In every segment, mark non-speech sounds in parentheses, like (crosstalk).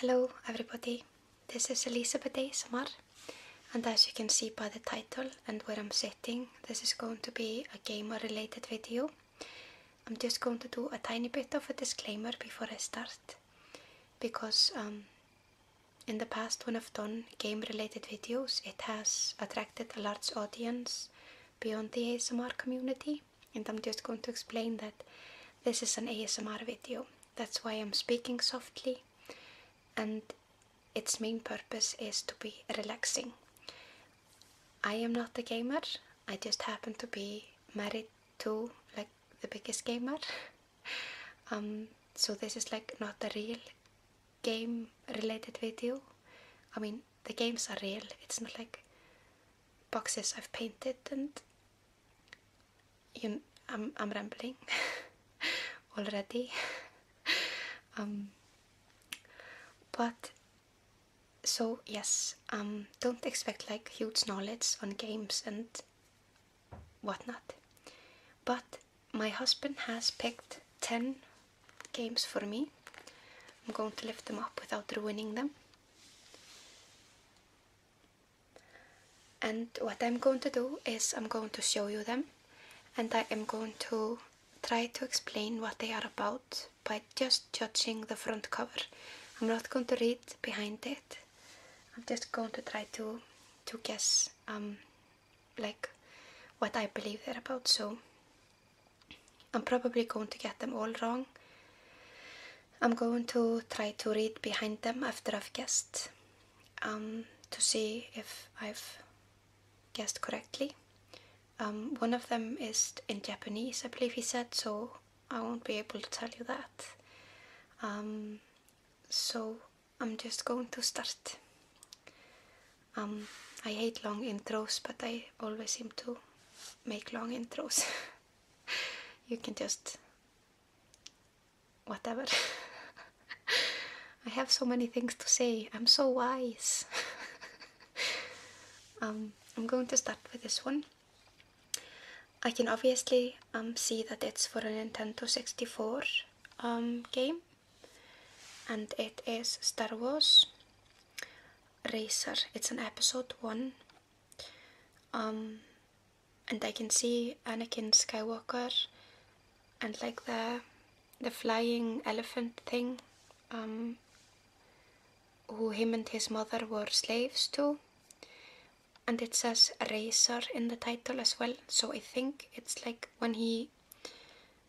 Hello everybody, this is Elizabeth ASMR and as you can see by the title and where I'm sitting, this is going to be a gamer related video. I'm just going to do a tiny bit of a disclaimer before I start because um, in the past when I've done game related videos it has attracted a large audience beyond the ASMR community and I'm just going to explain that this is an ASMR video. That's why I'm speaking softly and its main purpose is to be relaxing. I am not a gamer, I just happen to be married to like the biggest gamer. (laughs) Um, so this is like not a real game related video. I mean the games are real, it's not like boxes I've painted and you, I'm, I'm rambling (laughs) already. (laughs) Um, but so yes, um, don't expect like huge knowledge on games and whatnot. But my husband has picked 10 games for me I'm going to lift them up without ruining them and what I'm going to do is I'm going to show you them and I am going to try to explain what they are about by just judging the front cover I'm not going to read behind it I'm just going to try to to guess um, like what I believe they're about so I'm probably going to get them all wrong. I'm going to try to read behind them after I've guessed um, to see if I've guessed correctly. Um, one of them is in Japanese, I believe he said, so I won't be able to tell you that. Um, so I'm just going to start. I hate long intros, but I always seem to make long intros. (laughs) you can just whatever. (laughs) I have so many things to say. I'm so wise. (laughs) Um, I'm going to start with this one. I can obviously um, see that it's for a Nintendo 64 um, game and it is Star Wars racer it's an episode one um and i can see anakin skywalker and like the the flying elephant thing um who him and his mother were slaves to and it says racer in the title as well so i think it's like when he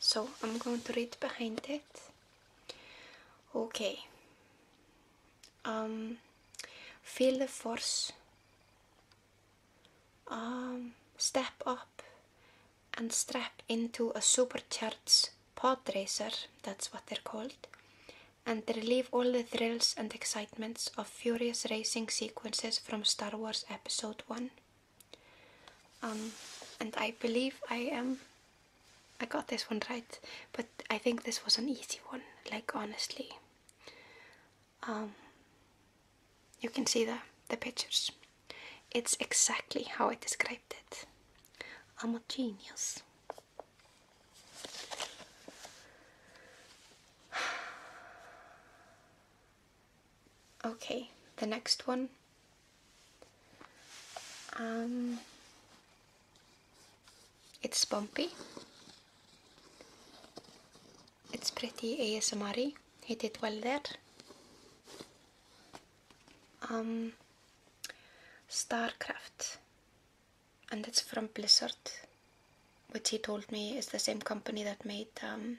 So I'm going to read behind it. Okay. Um, feel the force. Um, step up and strap into a supercharged pod racer, that's what they're called, and relive all the thrills and excitements of furious racing sequences from Star Wars Episode 1. Um, and I believe I am. I got this one right, but I think this was an easy one. Like honestly, um, you can see the the pictures. It's exactly how I described it. I'm a genius. Okay, the next one. Um, it's bumpy. It's pretty ASMR -y. He did well there. Um, StarCraft. And it's from Blizzard, which he told me is the same company that made um,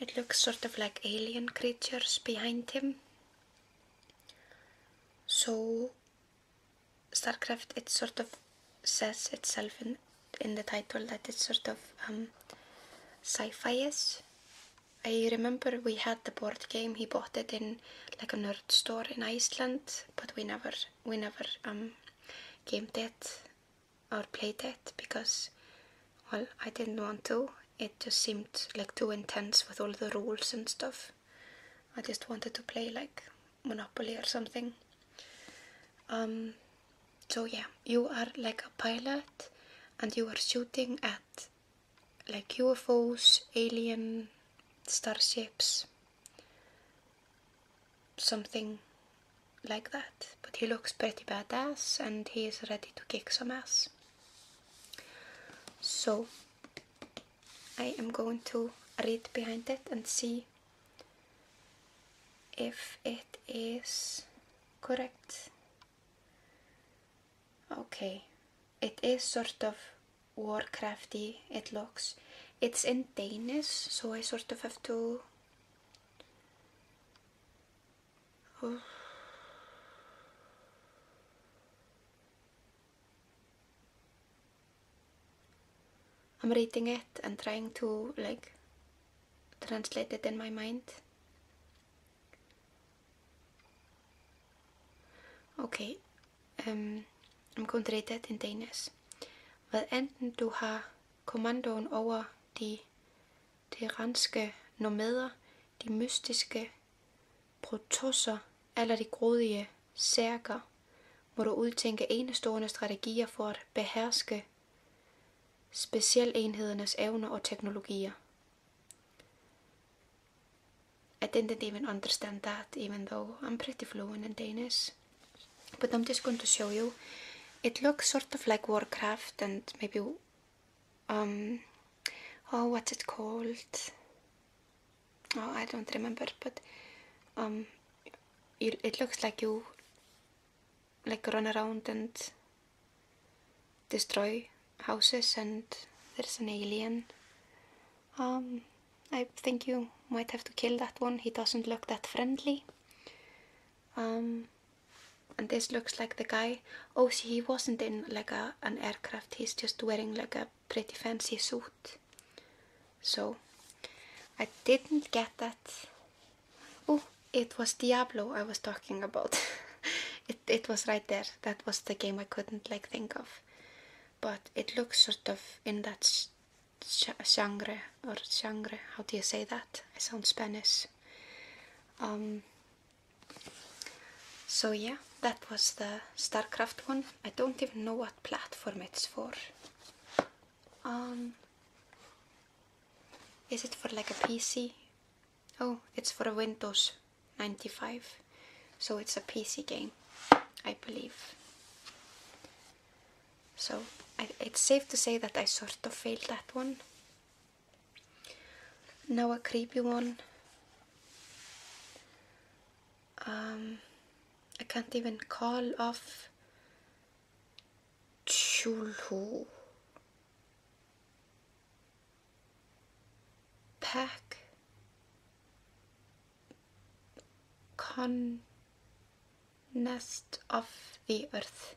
It looks sort of like alien creatures behind him. So, StarCraft, it sort of says itself in, in the title that it's sort of um, sci-fi is. I remember we had the board game. He bought it in like a nerd store in Iceland, but we never we never um, gamed it or play that because well I didn't want to it just seemed like too intense with all the rules and stuff I just wanted to play like Monopoly or something um, so yeah you are like a pilot and you are shooting at like UFOs, alien, starships something like that, but he looks pretty badass and he is ready to kick some ass. So I am going to read behind it and see if it is correct. Okay, it is sort of Warcrafty, it looks. It's in Danish, so I sort of have to Oh. I'm reading it and trying to like translate it in my mind. Okay, um, I'm going to read that in Danish. Hvad anden du har kommandoen over de teranske nomader, de mystiske protosser eller de grådige særker, må du udtænke enestående strategier for at beherske specialenhedernes evner og teknologier. I didn't even understand that, even though I'm pretty fluent in Danish. But I'm just going to show you It looks sort of like Warcraft and maybe um oh what's it called? Oh I don't remember but um it, looks like you like run around and destroy houses and there's an alien. Um I think you might have to kill that one. He doesn't look that friendly. Um, and this looks like the guy oh see he wasn't in like a, an aircraft he's just wearing like a pretty fancy suit so I didn't get that oh it was Diablo I was talking about (laughs) it, it was right there that was the game I couldn't like think of but it looks sort of in that genre or genre how do you say that It sounds Spanish um, so yeah, that was the StarCraft one. I don't even know what platform it's for. Um, is it for like a PC? Oh, it's for Windows 95. So it's a PC game, I believe. So it's safe to say that I sort of failed that one. Now a creepy one. Um, I can't even call off Chulhu. Pack. Con. Nest of the earth.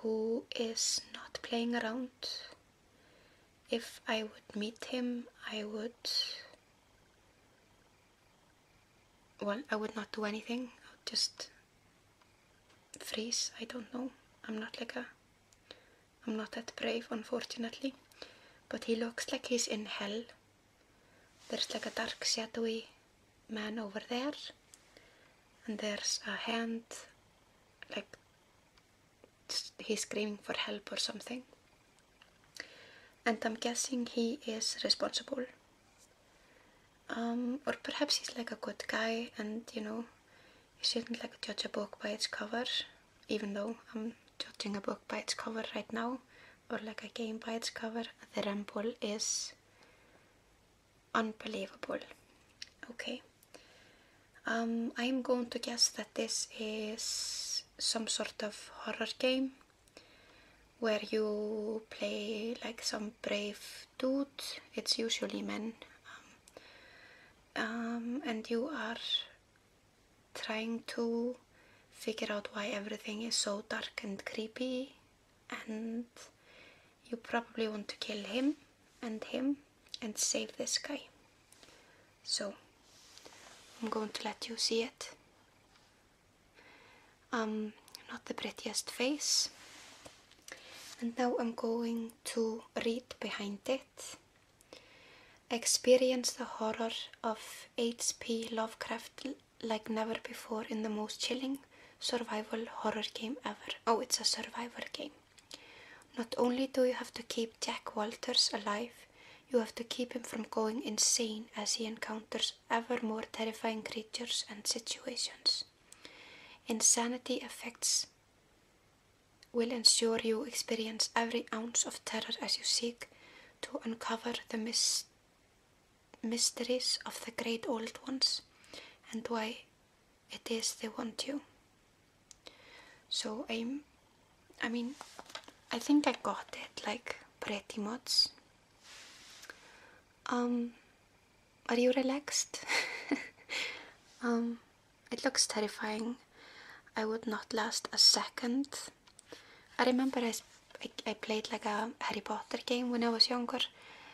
who is not playing around. If I would meet him, I would. Well, I would not do anything. I would just freeze. I don't know. I'm not like a. I'm not that brave, unfortunately. But he looks like he's in hell. There's like a dark, shadowy man over there, and there's a hand like he's screaming for help or something. And I'm guessing he is responsible. Um, or perhaps he's like a good guy and you know, you shouldn't like judge a book by its cover, even though I'm judging a book by its cover right now, or like a game by its cover. The Ramble is unbelievable. Okay, I'm um, going to guess that this is some sort of horror game where you play like some brave dude, it's usually men, um, um, and you are trying to figure out why everything is so dark and creepy and you probably want to kill him and him and save the sky. So I'm going to let you see it. Um, not the prettiest face. And now I'm going to read behind it. Experience the horror of H.P. Lovecraft like never before in the most chilling, survival horror game ever. Oh, it's a survival game. Not only do you have to keep Jack Walters alive, you have to keep him from going insane as he encounters ever more terrifying creatures and situations. Insanity effects will ensure you experience every ounce of terror as you seek to uncover the mys mysteries of the great old ones and why it is the one too. So I'm, I mean, I think I got it like pretty much. Um, are you relaxed? (laughs) um, it looks terrifying. I would not last a second. I remember I, I played like a Harry Potter game when I was younger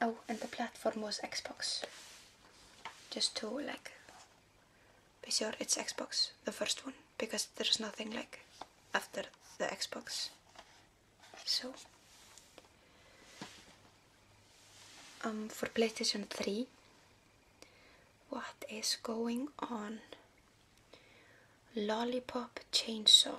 Oh, and the platform was Xbox. Just to like be sure it's Xbox, the first one, because there's nothing like after the Xbox. So, um, for PlayStation 3, what is going on? Lollipop Chainsaw.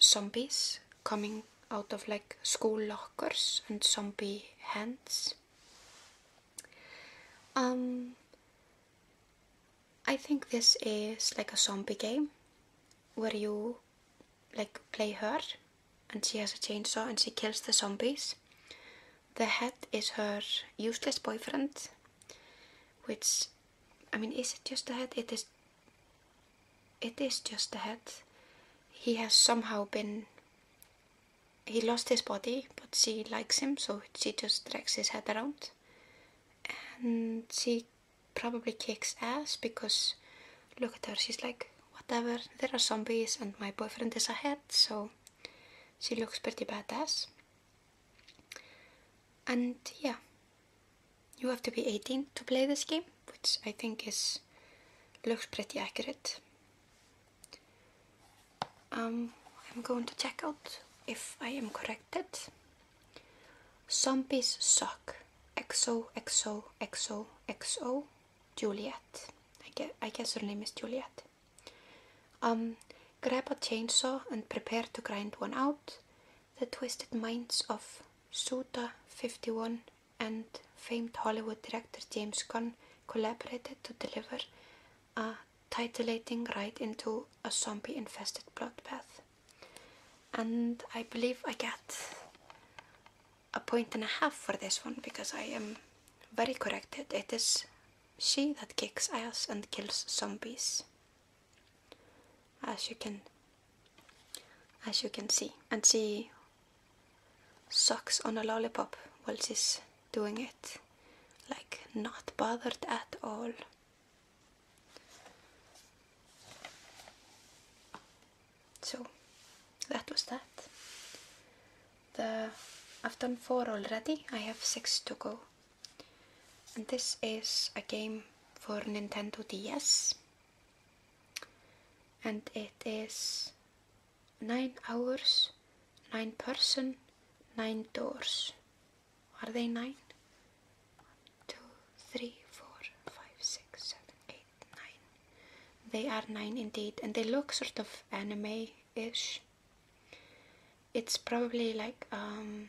zombies coming out of like school lockers and zombie hands. Um, I think this is like a zombie game where you like play her and she has a chainsaw and she kills the zombies. The head is her useless boyfriend, which I mean, is it just a head? It is it is just a head. He has somehow been. He lost his body, but she likes him, so she just drags his head around. And she probably kicks ass because look at her, she's like, whatever, there are zombies and my boyfriend is ahead, so she looks pretty badass. And yeah, you have to be 18 to play this game, which I think is looks pretty accurate. Um, I'm going to check out if I am corrected. Zombies suck. XO, XO, XO, XO, Juliet. I guess, I guess her name is Juliet. Um, grab a chainsaw and prepare to grind one out. The twisted minds of Suda 51 and famed Hollywood director James Gunn collaborated to deliver a titillating ride into a zombie infested bloodbath. And I believe I get a point and a half for this one because I am very corrected. It is she that kicks ass and kills zombies as you can as you can see and see sucks on a lollipop while she's doing it like not bothered at all so that was that the I've done four already I have six to go and this is a game for Nintendo DS and it is 9 hours 9 person 9 doors are they 9 1 they are 9 indeed and they look sort of anime ish it's probably like um,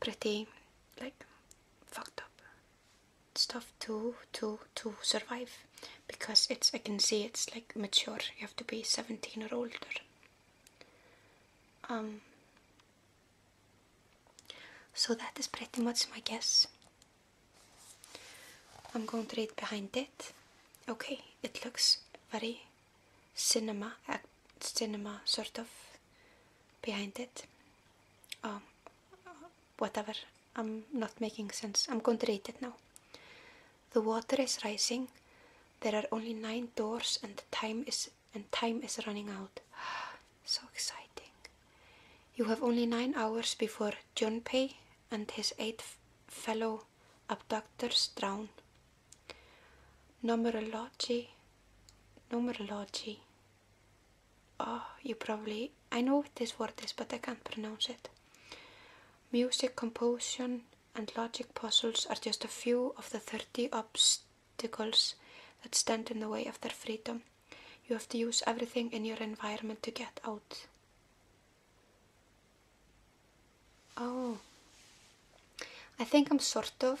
pretty like fucked up stuff to to to survive because it's I can see it's like mature you have to be 17 or older um so that is pretty much my guess I'm going to read behind it okay it looks very cinema cinema sort of behind it um, whatever i'm not making sense i'm going to read it now the water is rising there are only nine doors and time is and time is running out (sighs) so exciting you have only nine hours before John junpei and his eight fellow abductors drown numerology numerology Oh, you probably. I know what this word is, but I can't pronounce it. Music composition and logic puzzles are just a few of the 30 obstacles that stand in the way of their freedom. You have to use everything in your environment to get out. Oh, I think I'm sort of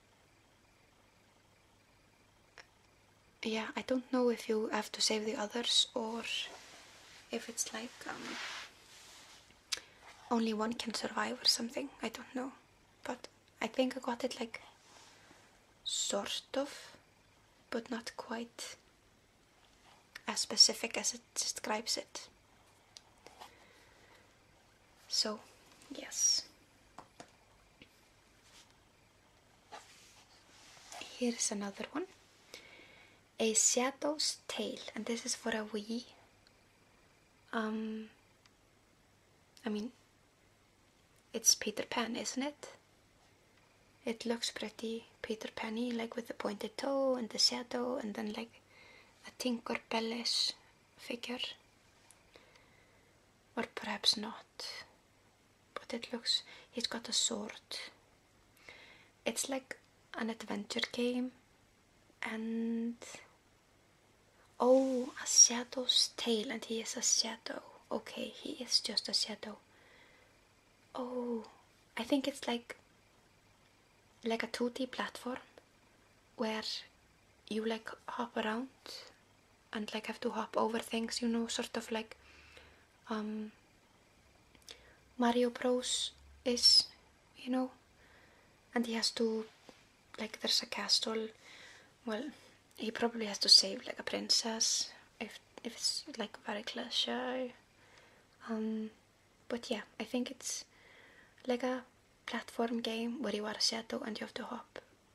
yeah I don't know if you have to save the others or if it's like um, only one can survive or something I don't know but I think I got it like sort of but not quite as specific as it describes it so yes Here's another one A Shadow's tail, and this is for a wee. Um, I mean, it's Peter Pan, isn't it? It looks pretty Peter Panny, like with the pointed toe and the shadow, and then like a Tinker Bellish figure. Or perhaps not not but it looks he's got a sword it's like an adventure game and oh a shadow's tail and he is a shadow okay he is just a shadow oh i think it's like like a 2d platform where you like hop around and like have to hop over things, you know, sort of like um, Mario Bros is, you know, and he has to, like, there's a castle. Well, he probably has to save like a princess if if it's like very cliche. Um, but yeah, I think it's like a platform game where you are a shadow and you have to hop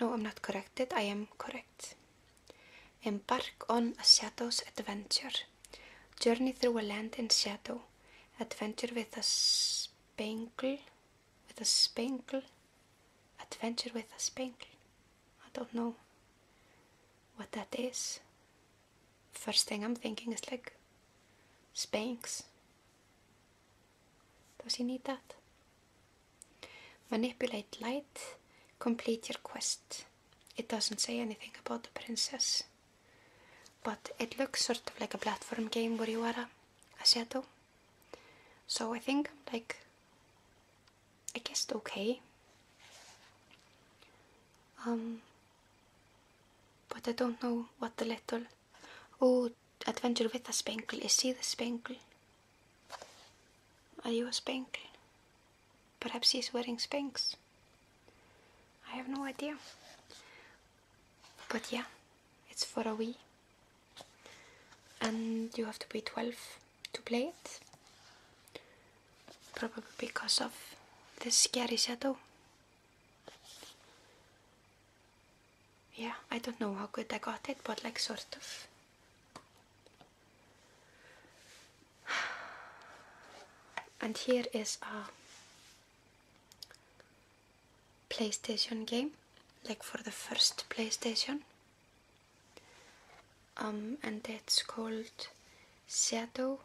No, I'm not corrected, I am correct. Embark on a shadow's adventure. Journey through a land in shadow. Adventure with a spangle. With a spangle. Adventure with a spangle. I don't know what that is. First thing I'm thinking is like Spanks. Does he need that? Manipulate light. Complete your quest. It doesn't say anything about the princess, but it looks sort of like a platform game where you So I think, like, I guess, okay. Um, but I don't know what the little Oh, adventure with a spankle. Is he the spankle? Are you a spankle? Perhaps he's wearing spanks. I have no idea. But yeah, it's for a wee, And you have to be 12 to play it. Probably because of the scary shadow yeah, I don't know how good I got it, but like sort of. (sighs) And here is a PlayStation game, like for the first PlayStation. Um, and it's called Shadow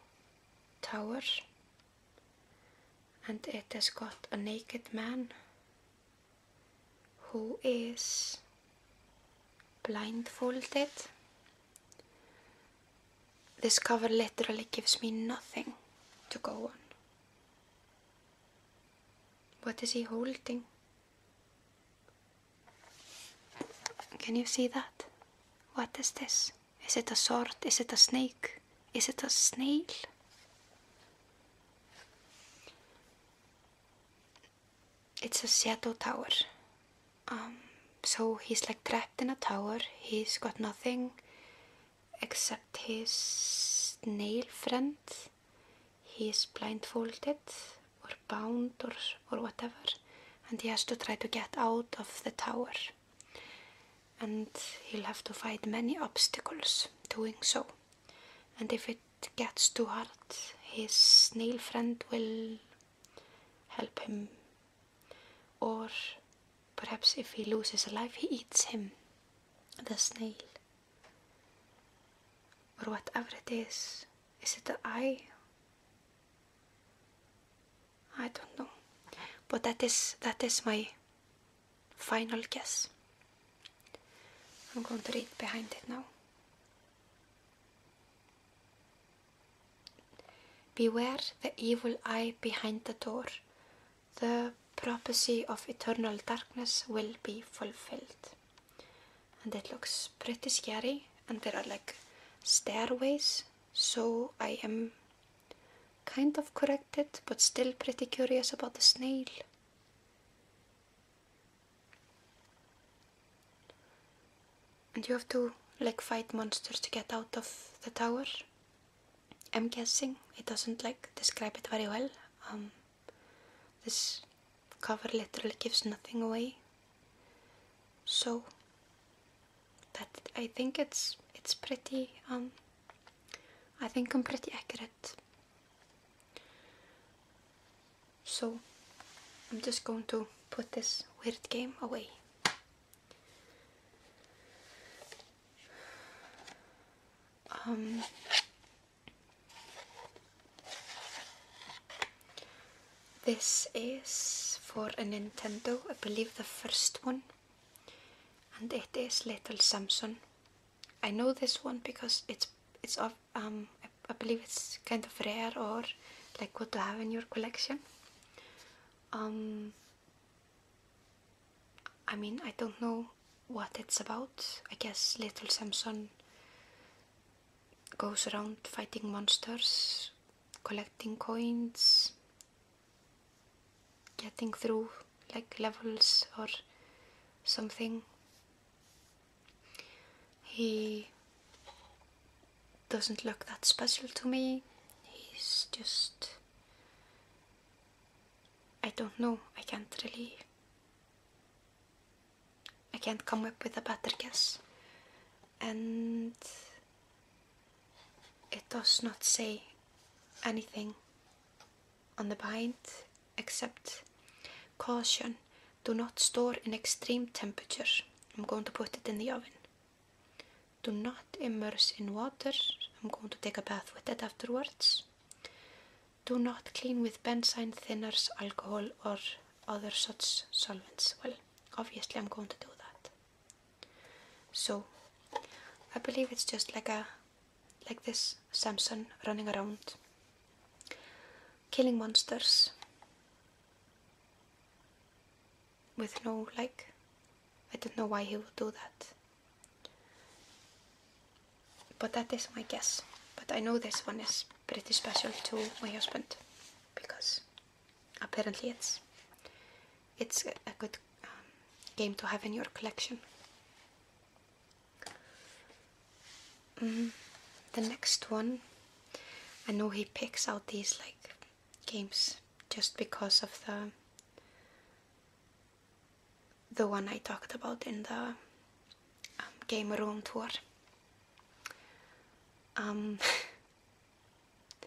Tower and it has got a naked man who is blindfolded. This cover literally gives me nothing to go on. What is he holding? Can you see that? What is this? Is it a sword? Is it a snake? Is it a snail? It's a shadow tower. Um, so he's like trapped in a tower. He's got nothing except his snail friends. He's blindfolded or bound or, or whatever. And he has to try to get out of the tower and he'll have to fight many obstacles doing so. And if it gets too hard, his snail friend will help him. Or perhaps if he loses a life, he eats him, the snail. Or whatever it is. Is it the eye? I don't know. But that is that is my Final guess. I'm going to read behind it now. Beware the evil eye behind the door. The prophecy of eternal darkness will be fulfilled. And it looks pretty scary, and there are like stairways, so I am Kind of corrected, but still pretty curious about the snail. And you have to like fight monsters to get out of the tower. I'm guessing it doesn't like describe it very well. Um, this cover literally gives nothing away. So that I think it's it's pretty um, I think I'm pretty accurate. So I'm just going to put this weird game away. Um, this is for a Nintendo, I believe the first one and it is Little Samson. I know this one because it's it's of um I believe it's kind of rare or like what to have in your collection. Um, I mean I don't know what it's about. I guess Little Samson goes around fighting monsters, collecting coins, getting through like levels or something. He doesn't look that special to me. He's just. I don't know. I can't really. I can't come up with a better guess. And it does not say anything on the bind except caution do not store in extreme temperature. I'm going to put it in the oven. Do not immerse in water. I'm going to take a bath with it afterwards. Do not clean with benzine thinners, alcohol or other such solvents. Well, obviously I'm going to do that. So I believe it's just like a like this Samson running around killing monsters with no like I don't know why he would do that. But that is my guess. But I know this one is pretty special to my husband because apparently it's it's a good game to have in your collection. Mm-hmm. the next one, I know he picks out these like games just because of the the one I talked about in the um, game room tour. Um, (laughs)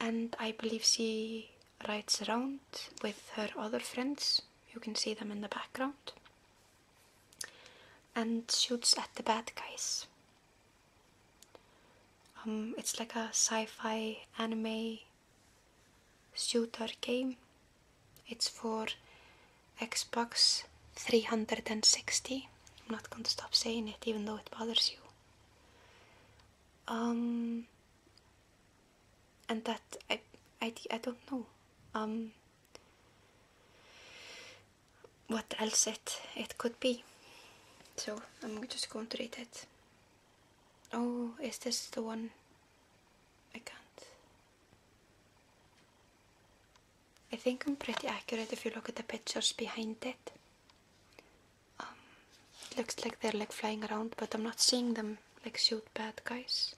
and I believe she rides around with her other friends. You can see them in the background. And shoots at the bad guys. Um, it's like a sci-fi anime shooter game. It's for Xbox 360. I'm not going to stop saying it even though it bothers you. Um, and that I, I, I don't know um, what else it, it could be. So I'm just going to read it. Oh, is this the one? I can't. I think I'm pretty accurate if you look at the pictures behind it it um, looks like they're like flying around, but I'm not seeing them like shoot bad guys.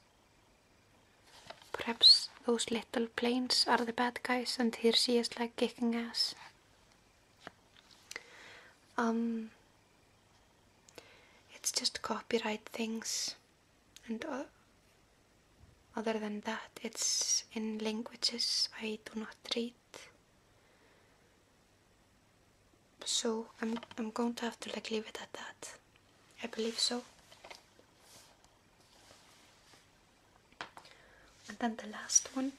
Perhaps those little planes are the bad guys, and here she is like kicking ass. Um, it's just copyright things, and uh, other than that, it's in languages I do not read so I'm, I'm going to have to like leave it at that I believe so and then the last one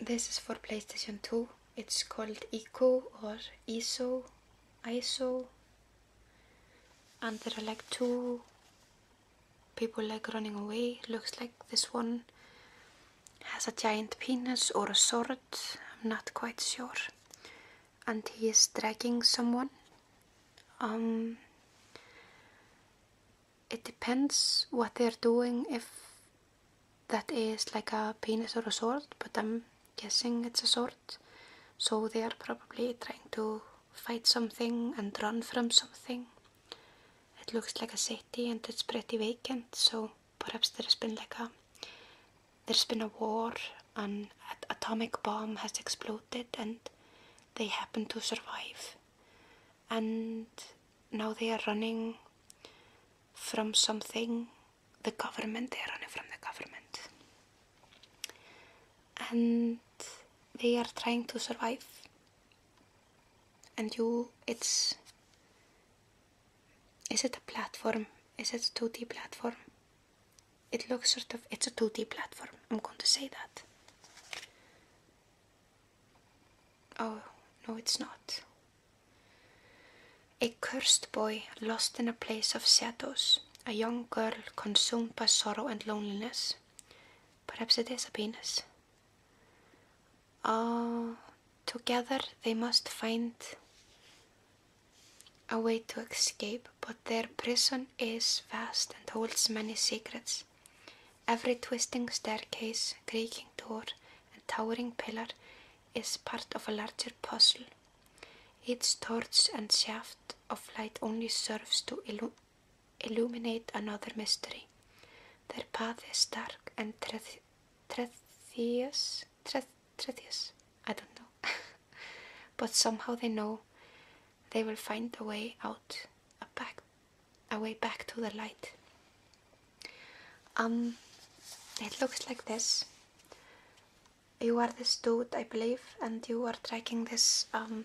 this is for PlayStation 2 it's called Eco or ISO ISO and there are like two people like running away looks like this one has a giant penis or a sword I'm not quite sure and he is dragging someone um, it depends what they're doing if that is like a penis or a sword but I'm guessing it's a sword so they are probably trying to fight something and run from something. It looks like a city and it's pretty vacant, so perhaps there's been like a there's been a war, an atomic bomb has exploded, and they happen to survive. And now they are running from something, the government, they are running from the government and they are trying to survive and you it's is it a platform is it a 2d platform it looks sort of it's a 2d platform i'm going to say that oh no it's not a cursed boy lost in a place of shadows a young girl consumed by sorrow and loneliness Perhaps it is a penis. Oh, together they must find a way to escape, but their prison is vast and holds many secrets. Every twisting staircase, creaking door, and towering pillar is part of a larger puzzle. Each torch and shaft of light only serves to illuminate illuminate another mystery. Their path is dark and treacherous. Treacherous? I don't know. (laughs) but somehow they know they will find a way out, a back, a way back to the light. Um, it looks like this. You are this dude, I believe, and you are dragging this um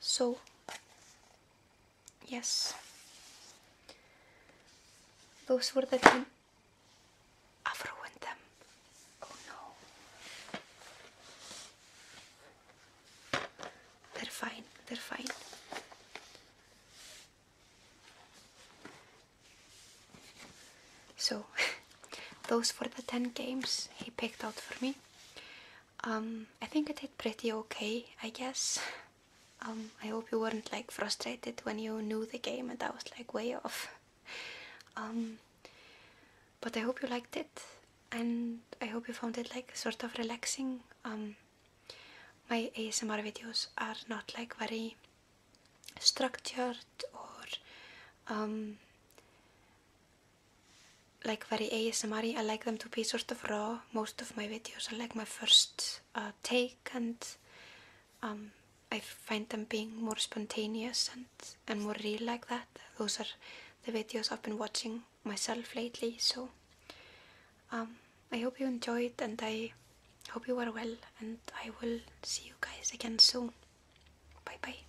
So, yes, those were the ten. I've ruined them. Oh no. They're fine, they're fine. So, (laughs) those were the 10 games he picked out for me. Um, I think I did pretty okay, I guess. Um, I hope you weren't like frustrated when you knew the game and I was like way off. Um, but I hope you liked it and I hope you found it like sort of relaxing. my ASMR videos are not like very structured or like very ASMR. I like them to be sort of raw. Most of my videos are like my first uh, take, and um, I find them being more spontaneous and and more real like that. Those are the videos I've been watching myself lately. So um, I hope you enjoyed, and I hope you are well, and I will see you guys again soon. Bye bye.